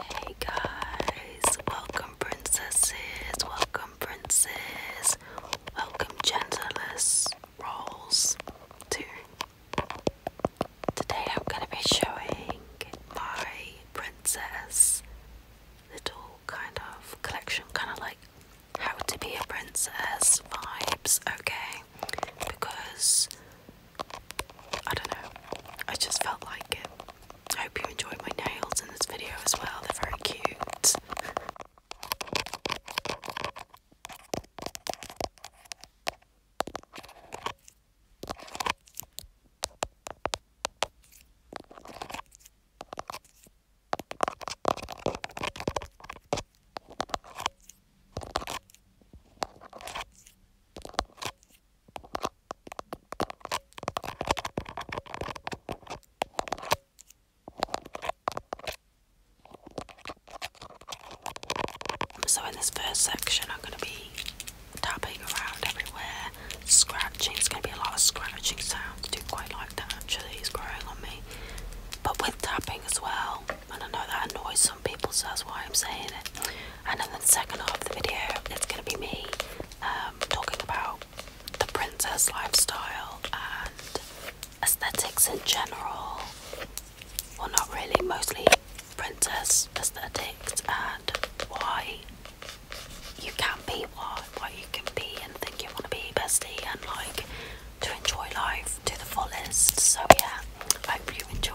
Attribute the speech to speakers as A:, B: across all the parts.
A: Hey guys, welcome princesses, welcome princes, welcome genderless roles to today I'm gonna be showing my princess little kind of collection, kind of like how to be a princess vibes, okay? Because I don't know. I just felt like it. I hope you enjoyed my nails in this video as well. They're very cute. So, in this first section, I'm going to be tapping around everywhere, scratching. It's going to be a lot of scratching sounds. I do quite like that actually, it's growing on me. But with tapping as well, and I know that annoys some people, so that's why I'm saying it and in the second half of the video it's going to be me um, talking about the princess lifestyle and aesthetics in general. Well, not really, mostly princess aesthetics and why you can be what, what you can be and think you want to be bestie and like to enjoy life to the fullest. So yeah, hope you enjoy.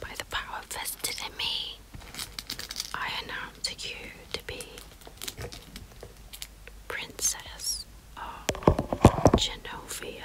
A: By the power vested in me, I announce you to be Princess of Genovia.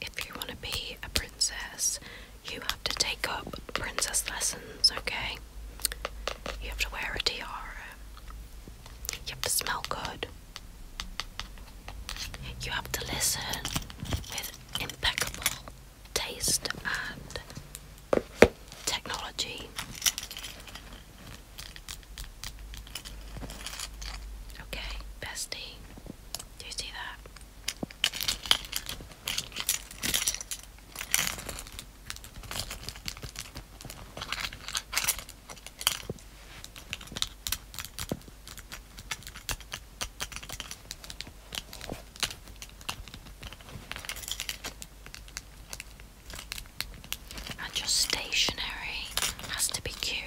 A: If you want to be a princess, you have to take up princess lessons, okay? You have to wear a tiara, you have to smell good, you have to listen with impeccable taste and technology. Okay, bestie. Do you see that? And your stationery has to be cute.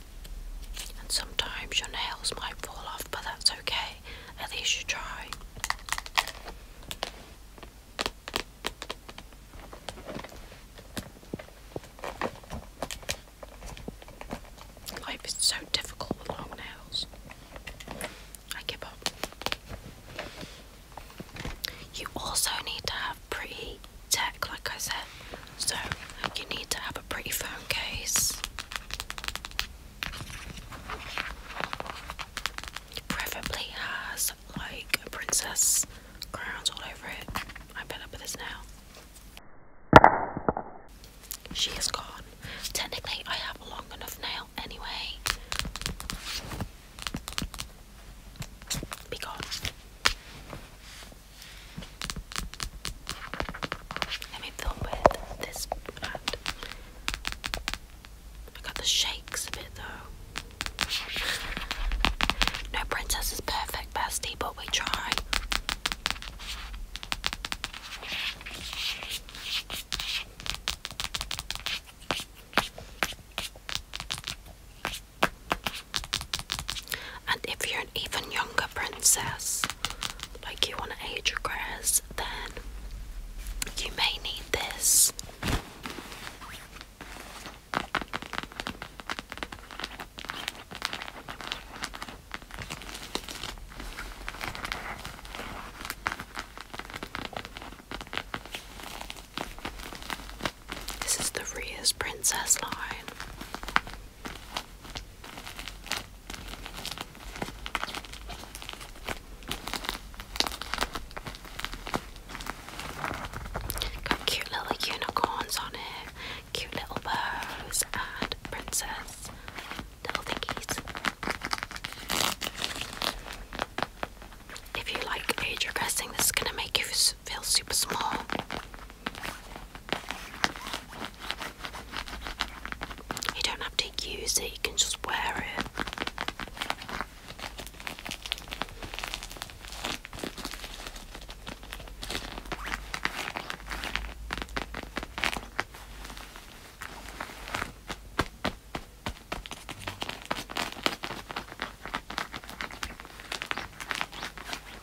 A: And sometimes your nails might fall off, but that's okay. At least you try. Life is so difficult with long nails. I give up. You also need to have pretty tech, like I said. So you need to have a pretty firm case, preferably has like princess crowns all over it. I'm fed up with this now. She is gone. Technically, I have a long enough nail anyway. Be gone. Let me film with this brand. I got the shakes a bit though. No princess is perfect, bestie, but we try. And if you're an even younger princess, like you want to age regress, then you may need this. This is the Ria's Princess line. Got cute little unicorns on it, cute little bows and princess little thingies. If you like age regressing, this is gonna make you feel super small. You don't have to use it, you can just wear it.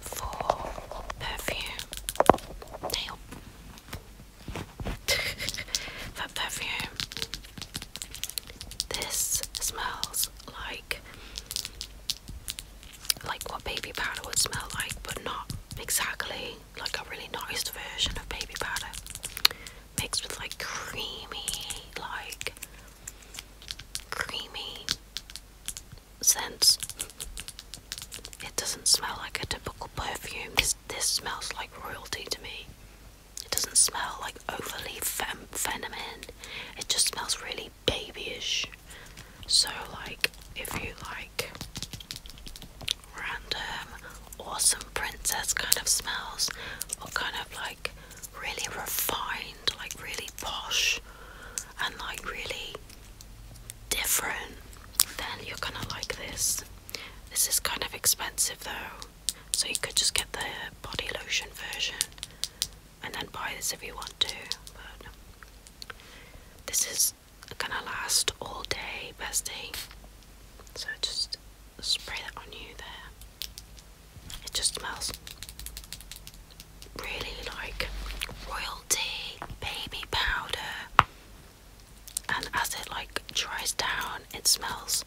A: for perfume. Nail. for perfume. This smells like like what baby powder would smell like, but not exactly like a really nice version of baby powder. Mixed with like creamy, like creamy since It doesn't smell like a typical perfume. This, smells like royalty to me. It doesn't smell like overly fem feminine. It just smells really babyish. So, like, if you like random, awesome princess kind of smells, or kind of like really refined, like really posh, and like really different, then you're gonna like this. This is kind of expensive though, so you could just get the body lotion version and then buy this if you want to. But this is gonna last all day, bestie. So just spray that on you there. It just smells really like royalty baby powder and as it like dries down it smells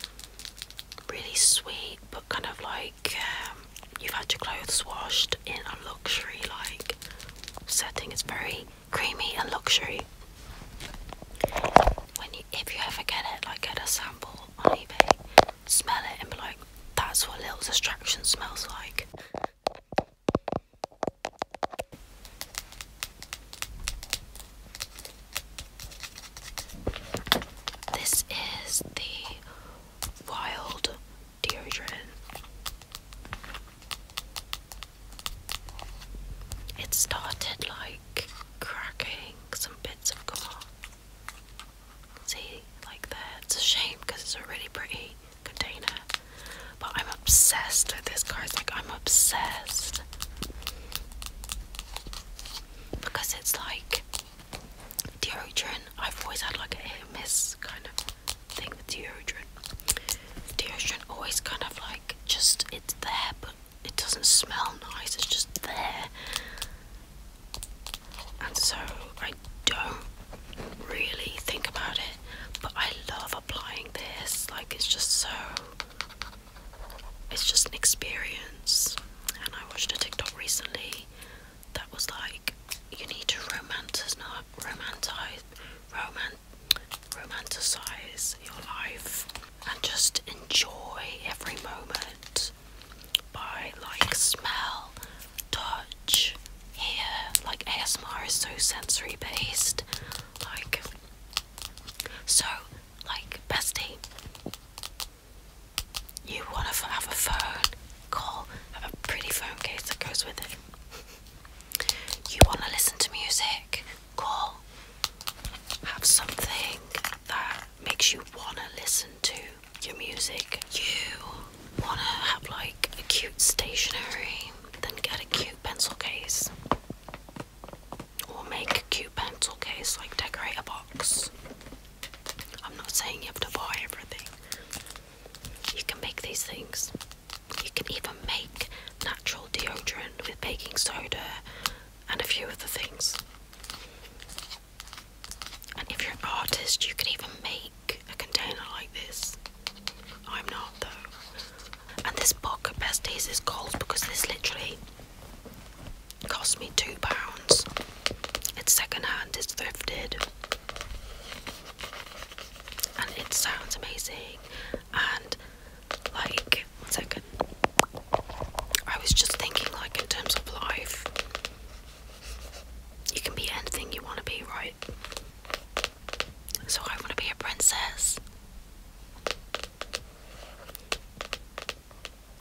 A: really sweet but kind of like um, you've had your clothes washed in a luxury like setting it's very creamy and luxury when you if you ever get it like get a sample on ebay smell it and be like that's what little distraction smells like this is the wild deodorant. It started like cracking some bits of gum. See, like that. It's a shame because it's a really pretty container. But I'm obsessed with this, guys. Like, I'm obsessed. Because it's like deodorant. I've always had like a miss kind of thing with deodorant. Deodorant always kind of like just, it's there, but it doesn't smell nice. It's just there. And so I don't really think about it. But I love applying this. Like it's just so it's just an experience. And I watched a TikTok recently that was like you need to romanticize not romanticize romanticize your life and just enjoy every moment by like smell touch, hair. Like ASMR is so sensory based. Like, so, like, bestie, you want to have a phone? Call. Have a pretty phone case that goes with it. You want to listen to music? Call. Have something that makes you want to listen to your music. You want to have like a cute stationery, then get a cute pencil case. Or make a cute pencil case, like decorate a box. I'm not saying you have to buy everything. You can make these things. You can even make natural deodorant with baking soda and a few other things. And if you're an artist, you can even make a container like this. I'm not though. And this pocket besties is called because this literally cost me two pounds. It's second hand, it's thrifted. And it sounds amazing. And like one second. I was just thinking like in terms of life. You can be anything you want to be, right? So I want to be a princess.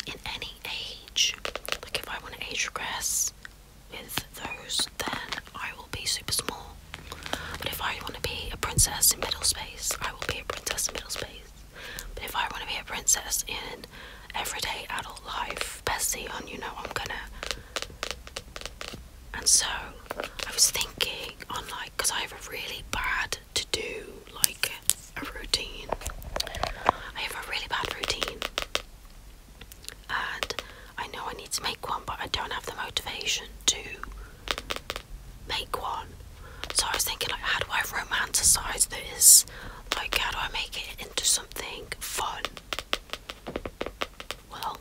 A: In any age. Like if I want to age regress with those, then I will be super small. But if I want to be a princess in middle space, I will be a princess in middle space. But if I want to be a princess in everyday adult life, Bessie on, you know, I'm gonna and so I was thinking on like because I have a really bad to do like a routine. I have a really bad routine, and I know I need to make one, but I don't have the motivation to make one. So I was thinking like, how do I romanticize this? Like, how do I make it into something fun? Well,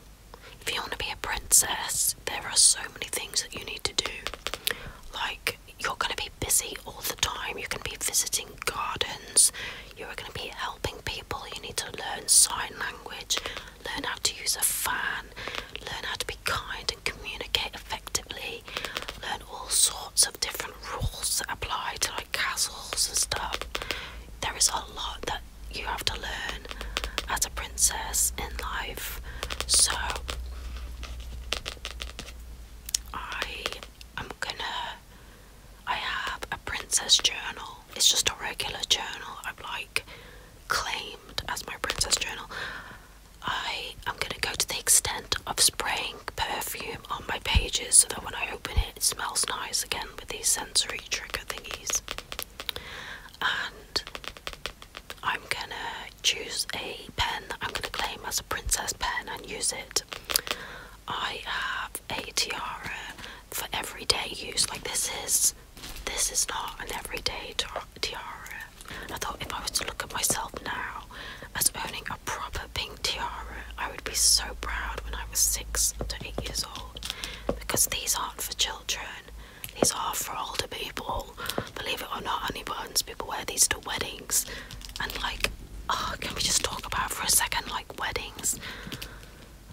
A: if you want to be a princess, there are so many things that you need to do. Like, you're going to be busy all the time. You're going to be visiting gardens. You are going to be helping people. You need to learn sign language, learn how to use a fan, learn how to be kind and communicate effectively, learn all sorts of different rules that apply to like castles and stuff. There is a lot that you have to learn as a princess in life. So I am gonna I have a princess journal. It's just a regular journal. i have like claimed as my princess journal. I am gonna go to the extent of spraying perfume on my pages so that when I open it, it smells nice again with these sensory trigger thingies and I'm gonna choose a pen that I'm gonna claim as a princess pen and use it. I have a tiara for everyday use. Like this is this is not an everyday tiara. I thought if I was to look at myself now as owning a proper pink tiara, I would be so proud when I was six to eight years old because these aren't for children. These are for older people, believe it or not. Honey buttons, people wear these to weddings, and like, oh, can we just talk about for a second, like weddings?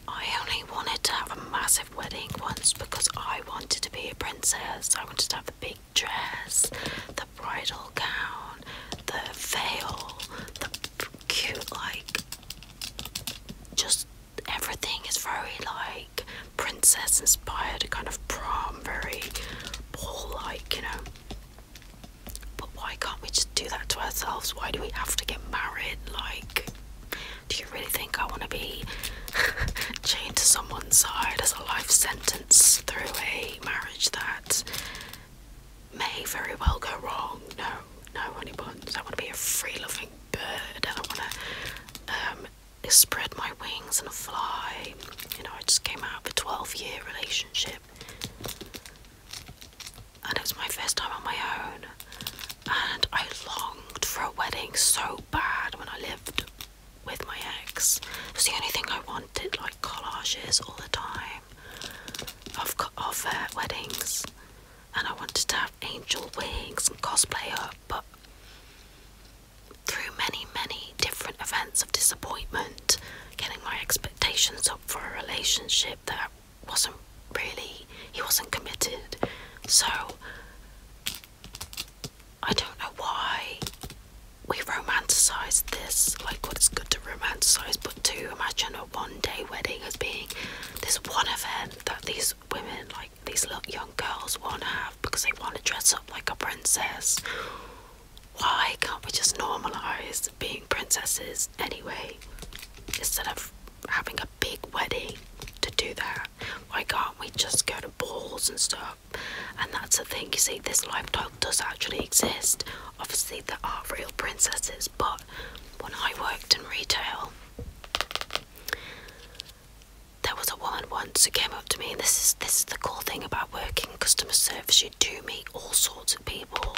A: I only wanted to have a massive wedding once because I wanted to be a princess. I wanted to have the big dress, the bridal gown, the veil, the cute, like, just everything is very like princess inspired, kind of prom, very ball like, you know. But why can't we just do that to ourselves? Why do we have to get married? Like, do you really think I want to be chained to someone's side as a life sentence through a marriage that may very well go wrong? No, no, honey buns. I want to be a free loving bird. I want to um, spread my wings and fly. You know, I just came out of a 12 year relationship. And it was my first time on my own. And I longed for a wedding so bad when I lived with my ex. It was the only thing I wanted, like collages all the time of, of uh, weddings. And I wanted to have angel wings and cosplay up, but through many, many different events of disappointment, getting my expectations up for a relationship that wasn't really, he wasn't committed. So, I don't know why we romanticize this, like what it's good to romanticize, but to imagine a one day wedding as being this one event that these women, like these little young girls, want to have because they want to dress up like a princess. Why can't we just normalize being princesses anyway? Instead of having a big wedding to do that, why can't we just go to balls and stuff? And that's the thing, you see, this lifestyle does actually exist. Obviously, there are real princesses, but when I worked in retail, there was a woman once who came up to me, and this is this is the cool thing about working customer service. You do meet all sorts of people,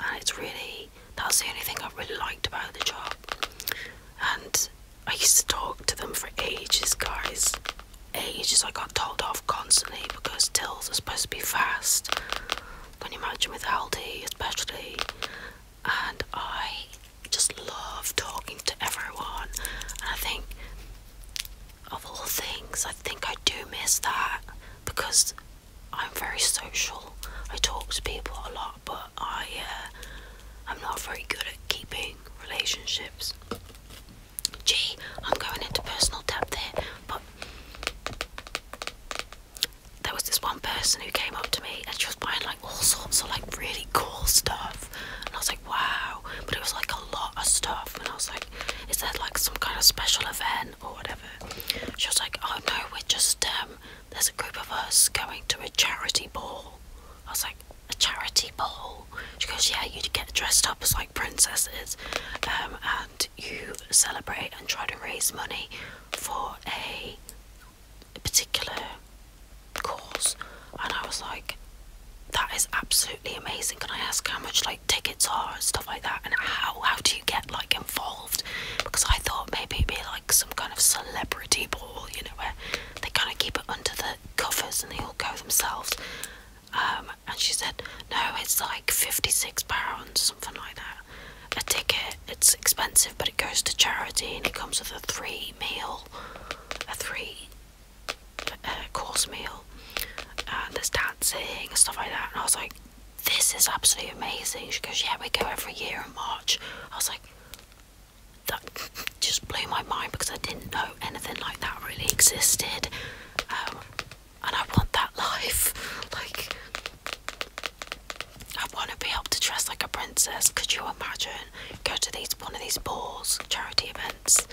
A: and it's really that's the only thing I really liked about the job. And I used to talk to them for ages, guys. Ages. I got told off constantly because tills are supposed to be fast. Can you imagine with Aldi, especially? and I just love talking to everyone. And I think, of all things, I think I do miss that because I'm very social. I talk to people a lot, but I uh, I'm not very good at keeping relationships. Gee, I'm going into personal depth there, but there was this one person who came up to me and she was buying like all sorts of like really cool stuff and I was like wow but it was like a lot of stuff and I was like is that like some kind of special event or whatever she was like oh no we're just um there's a group of us going to a charity ball I was like a charity ball she goes yeah you get dressed up as like princesses um and you celebrate and try to raise money for a particular course, and I was like, that is absolutely amazing. Can I ask how much like tickets are and stuff like that, and how how do you get like involved? Because I thought maybe it'd be like some kind of celebrity ball, you know, where they kind of keep it under the covers and they all go themselves. Um, and she said, no, it's like fifty six pounds, something like that, a ticket it's expensive, but it goes to charity and it comes with a three meal, a three uh, course meal, and uh, there's dancing and stuff like that. And I was like, this is absolutely amazing. She goes, yeah, we go every year in March. I was like, that just blew my mind because I didn't know anything like that really existed. Um, and I want that life. Like, I want to be able to dress like a princess. Could you imagine? Go to these one of these balls, charity events.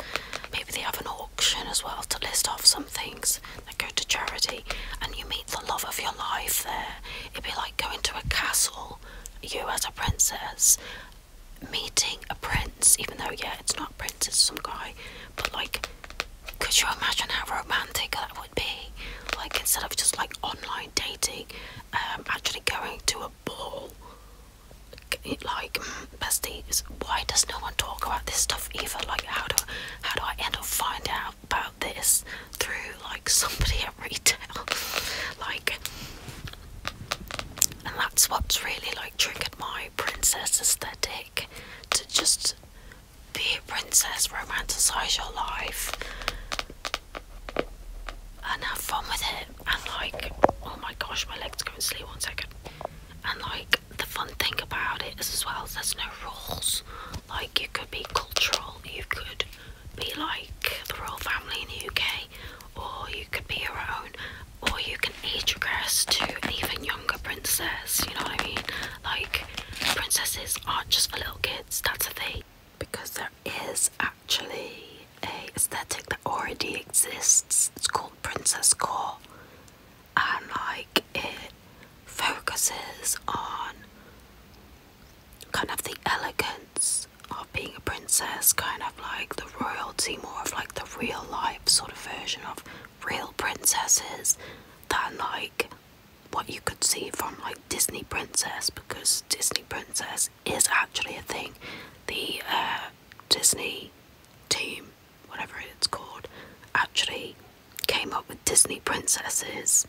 A: Maybe they have an auction as well to list off some things that go to charity, and you meet the love of your life there. It'd be like going to a castle, you as a princess, meeting a prince, even though, yeah, it's not prince, it's some guy, but like. Could you imagine how romantic that would be? Like, instead of just like online dating, um, actually going to a ball. Like, besties, why does no one talk about this stuff either? Like, how do how do I end up finding out about this through like somebody at retail? like, and that's what's really like triggered my princess aesthetic to just be a princess, romanticize your life, and have fun with it. And like, oh my gosh, my legs going silly. One second. And like, the fun thing about it is as well, there's no rules. Like, you could be cultural. You could be like the royal family in the UK, or you could be your own, or you can age regress to an even younger princess. You know what I mean? Like, princesses aren't just for little kids. That's a thing because there is a actually a aesthetic that already exists. It's called Princess Core, and like it focuses on kind of the elegance of being a princess, kind of like the royalty, more of like the real life sort of version of real princesses than like what you could see from like Disney princess because Disney princess is actually a thing. The uh, Disney team, whatever it's called, actually came up with Disney princesses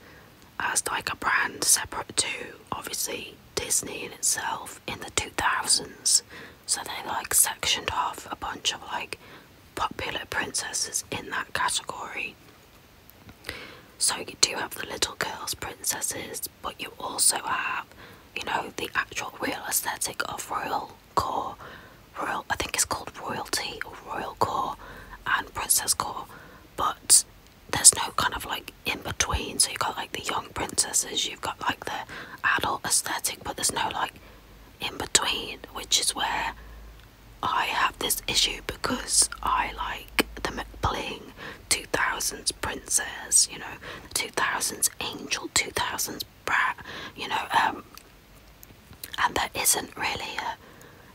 A: as like a brand separate to obviously Disney in itself in the 2000s. So they like sectioned off a bunch of like popular princesses in that category. So you do have the little girls, princesses, but you also have, you know, the actual real aesthetic of royal core, royal. I think it's called royalty or royal core, and princess core. But there's no kind of like in between. So you've got like the young princesses, you've got like the adult aesthetic, but there's no like in between, which is where I have this issue because I like the McBling 2000s princess, you know, 2000s angel, 2000s brat, you know, um, and there isn't really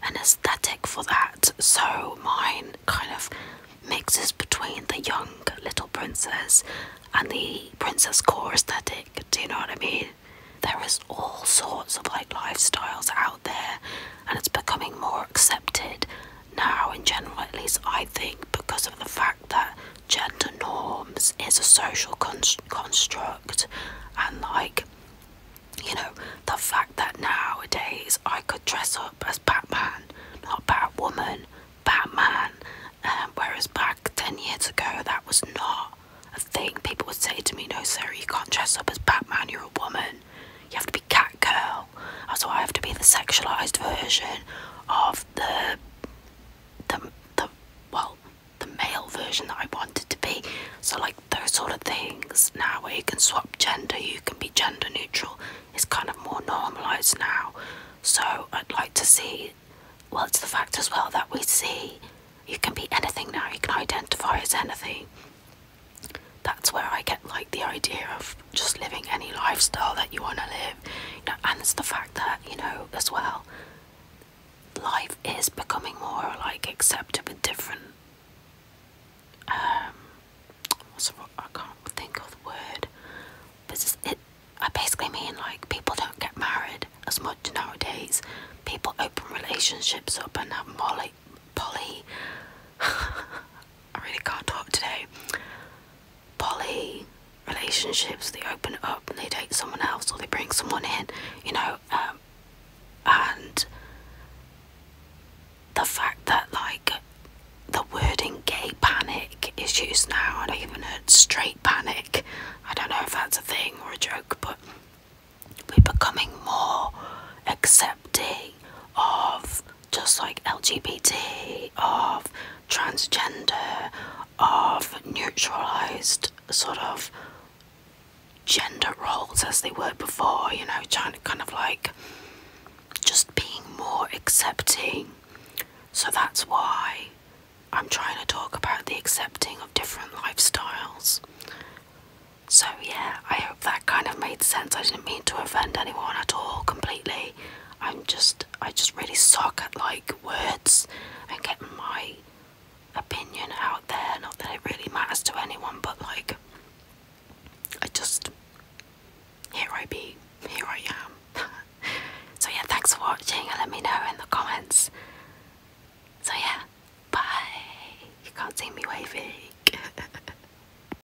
A: an aesthetic for that. So mine kind of mixes between the young little princess and the princess core aesthetic. Do you know what I mean? There is all sorts of like lifestyles out there, and it's becoming more accepted now, in general, at least I think, because of the fact that gender norms is a social const construct, and like, you know, the fact that nowadays I could dress up as Batman, not Batwoman, Batman, um, whereas back 10 years ago that was not a thing. People would say to me, No, sir, you can't dress up as Batman, you're a woman, you have to be Catgirl now. So I have to be the sexualised version of the the the well the male version that I wanted to be. So like those sort of things now where you can swap gender, you can be gender neutral. It's kind of more normalized now. So I'd like to see well it's the fact as well that we see you can be anything now, you can identify as anything that's where I get like the idea of just living any lifestyle that you want to live, and it's the fact that you know as well, life is becoming more like accepted with different. Um, what's the, I can't think of the word. But it's, it, I basically mean like people don't get married as much nowadays. People open relationships up and have molly, poly. I really can't talk today. Poly relationships, they open up and they date someone else or they bring someone in, you know, um, and the fact that, like, the wording gay panic is used now, and I even heard straight panic. I don't know if that's a thing or a joke, but we're becoming more accepting of just like LGBT, of transgender, of neutralized sort of gender roles as they were before, you know, trying to kind of like just being more accepting. So that's why I'm trying to talk about the accepting of different lifestyles. So, yeah, I hope that kind of made sense. I didn't mean to offend anyone at all completely. I'm just, I just really suck at like words and getting my opinion out there. Not that it really matters to anyone, but like, I just, here I be, here I am. so, yeah, thanks for watching let me know in the comments. So, yeah, bye. You can't see me waving.